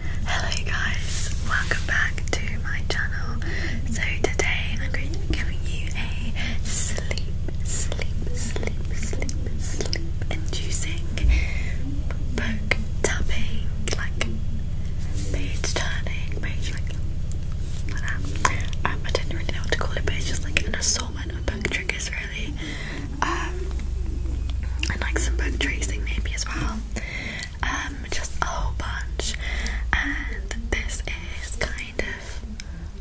Hello guys, welcome back to my channel. So today I'm going to be giving you a sleep, sleep, sleep, sleep, sleep inducing book tapping, like page turning, page like, um, I don't really know what to call it, but it's just like an assortment of book triggers really. Um, and like some book tracing maybe as well um, just a whole bunch. And this is kind of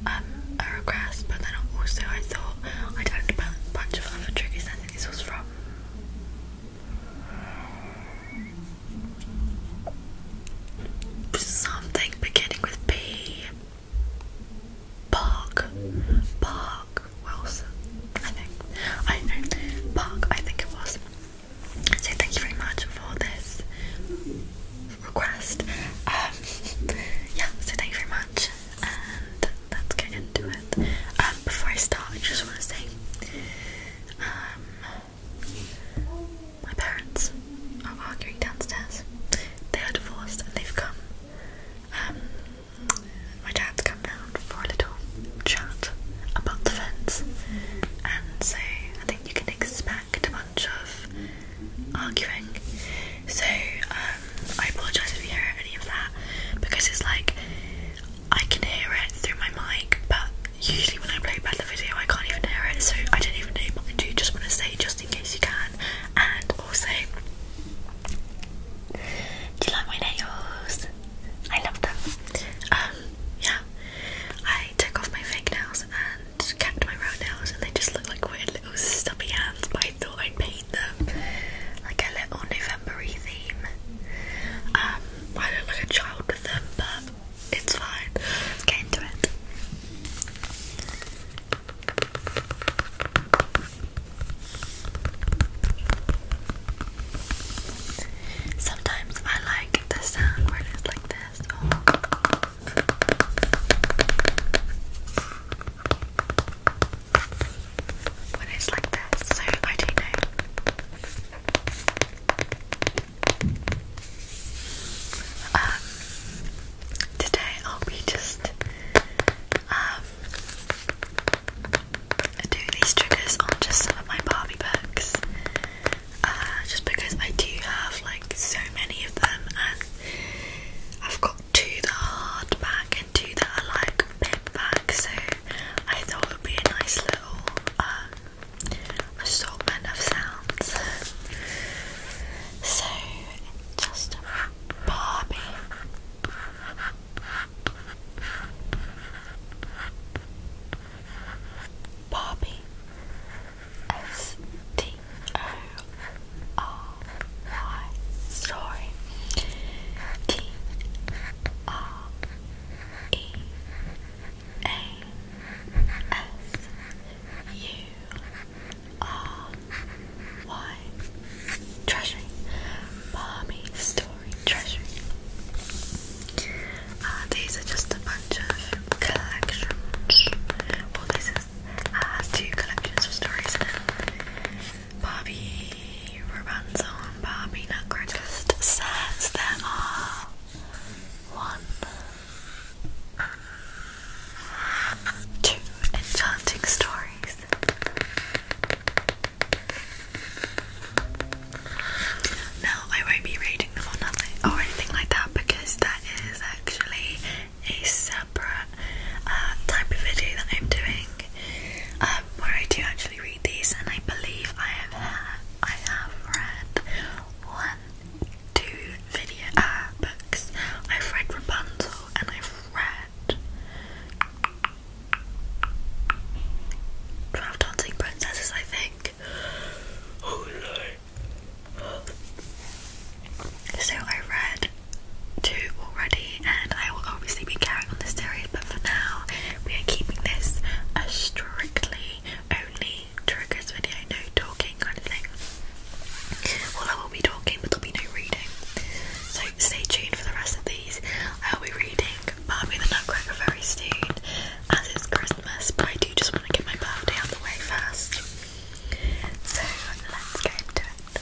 um, a request, but then also I thought I talked about a bunch of other triggers. I think this was from. Something beginning with P. Park. Park. Wilson, I think. I know, Park, I think it was. So thank you very much for this request. Um, yeah, so thank you very much, and let's get into it. Um, before I start, I just want to say, um, my parents are arguing downstairs. They are divorced and they've come my dad's come round for a little chat about the fence, and so I think you can expect a bunch of arguing. So um, I apologise if you hear any of that because it's like I can hear it through my mic, but usually when I play back the video, I can't even hear it, so I don't even do. Just want to say, just in case you can, and also. Do you like my nails? I love them. Um, yeah. I took off my fake nails and kept my round nails, and they just look like weird little stubby hands. But I thought I'd paint them like a little Novembery theme. Um, I look like a child with but it's fine. get into it. Sometimes I like the sound where it's like this. Oh. When it's like this, so I do know. Um, today I'll be just um I do these triggers on just some of my Barbie books uh, just because I do have like so many of them and I've got two that are hardback and two that are like paperback so I thought it would be a nice little um, assortment of sounds so just Barbie Barbie S T O R Y Story T R E A S U R why? Treasury. Mommy story treasury. Uh, these are just a bunch of collections. Well, this is uh, two collections of stories now. Bobby Romanzo and Bobby Nutcracker says there are one, two enchanting stories relax. I won't be reading them or nothing or anything like that because that is actually a separate uh, type of video that I'm doing um, where I do actually read these, and I believe I have I have read one, two video uh, books. I've read Rapunzel and I've read. Twelve dancing princesses, I think. So I read two already, and I will obviously be carrying on this series, but for now, we are keeping this a strictly only triggers video, no talking kind of thing. Well, I will be talking, but there'll be no reading. So stay tuned for the rest of these. I'll be reading Barbie the Nutcracker very soon as it's Christmas, but I do just want to get my birthday out of the way first. So let's get into it.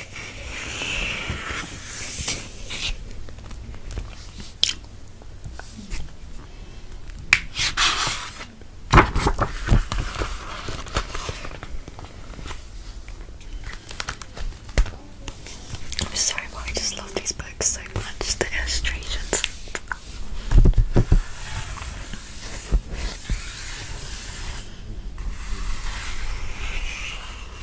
I'm sorry, but I just love these books so much. The illustrations.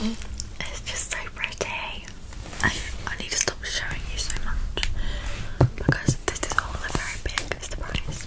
Mm. It's just so pretty. I, I need to stop showing you so much because this is all a very big surprise.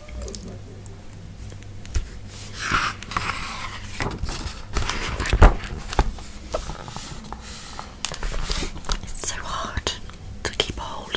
It's so hard to keep hold of.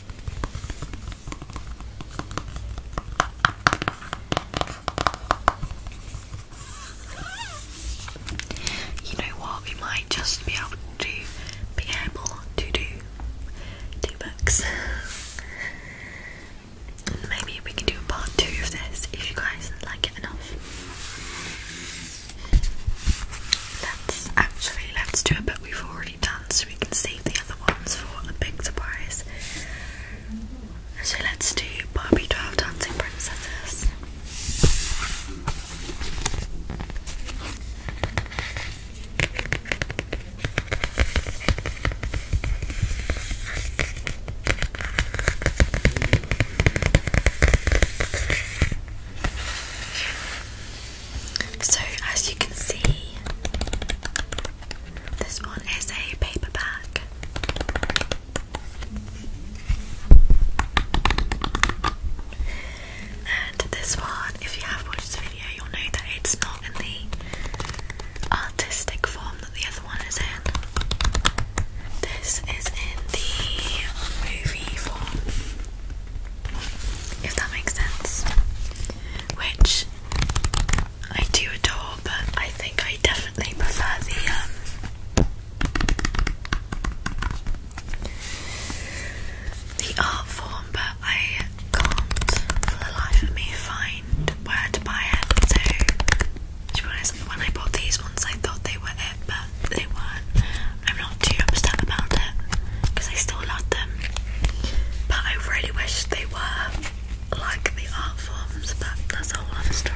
You know what? We might just be able to be able to do two books. Maybe we can do a part two of this if you guys like it enough. Let's actually let's do it, but we've already so we can save the other ones for a big surprise. So let's do Barbie doll Dancing Princesses. So, as you can see, this one is a paper bag. And this one, if you have watched this video, you'll know that it's not in the artistic form that the other one is in. This is in the movie form, if that makes sense which I do adore, but I think I definitely prefer the um, the art form. But I can't, for the life of me, find where to buy it. So, when I bought these ones, I thought they were it, but they weren't. I'm not not too upset about it because I still love them. But I really wish they were like the art forms, but that's a whole other story.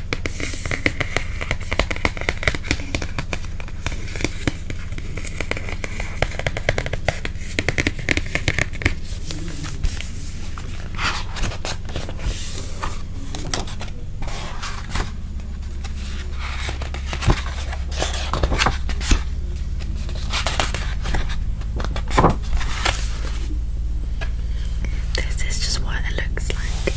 This is just what it looks like.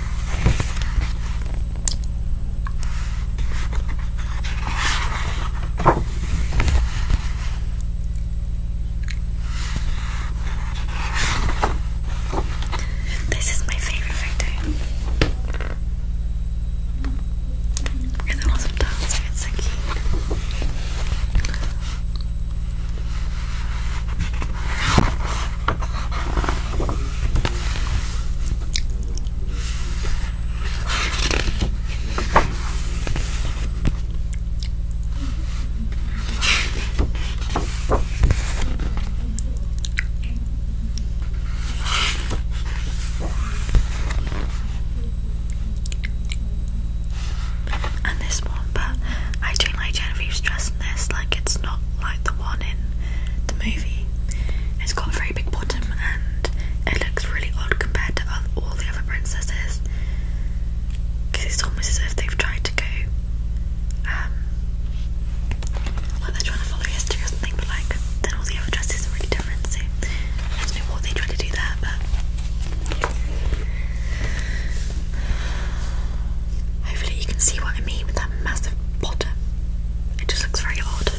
This is my favorite photo. It's an awesome dancer, cute. And this one, but I don't like Genevieve's dress in this, like, it's not like the one in the movie. It's got a very big bottom and it looks really odd compared to all the other princesses because it's almost as if they've tried to go um, like they're trying to follow history or something but like then all the other dresses are really different so I don't know what they tried to do there but Hopefully, you can see what I mean with that massive bottom. It just looks very odd.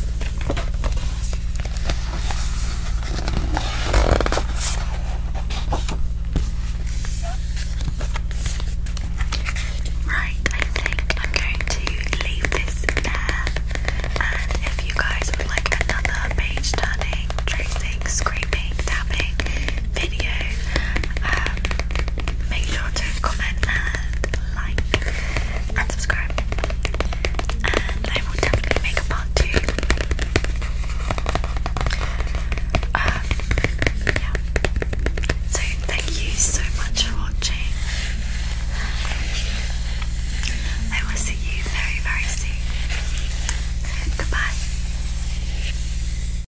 Right, I think I'm going to leave this there. And if you guys would like another page turning, tracing, scraping, tapping video, uh, make sure to comment and like and subscribe. And I will definitely make a part two. Um, yeah. So thank you so much for watching. I will see you very, very soon. Goodbye.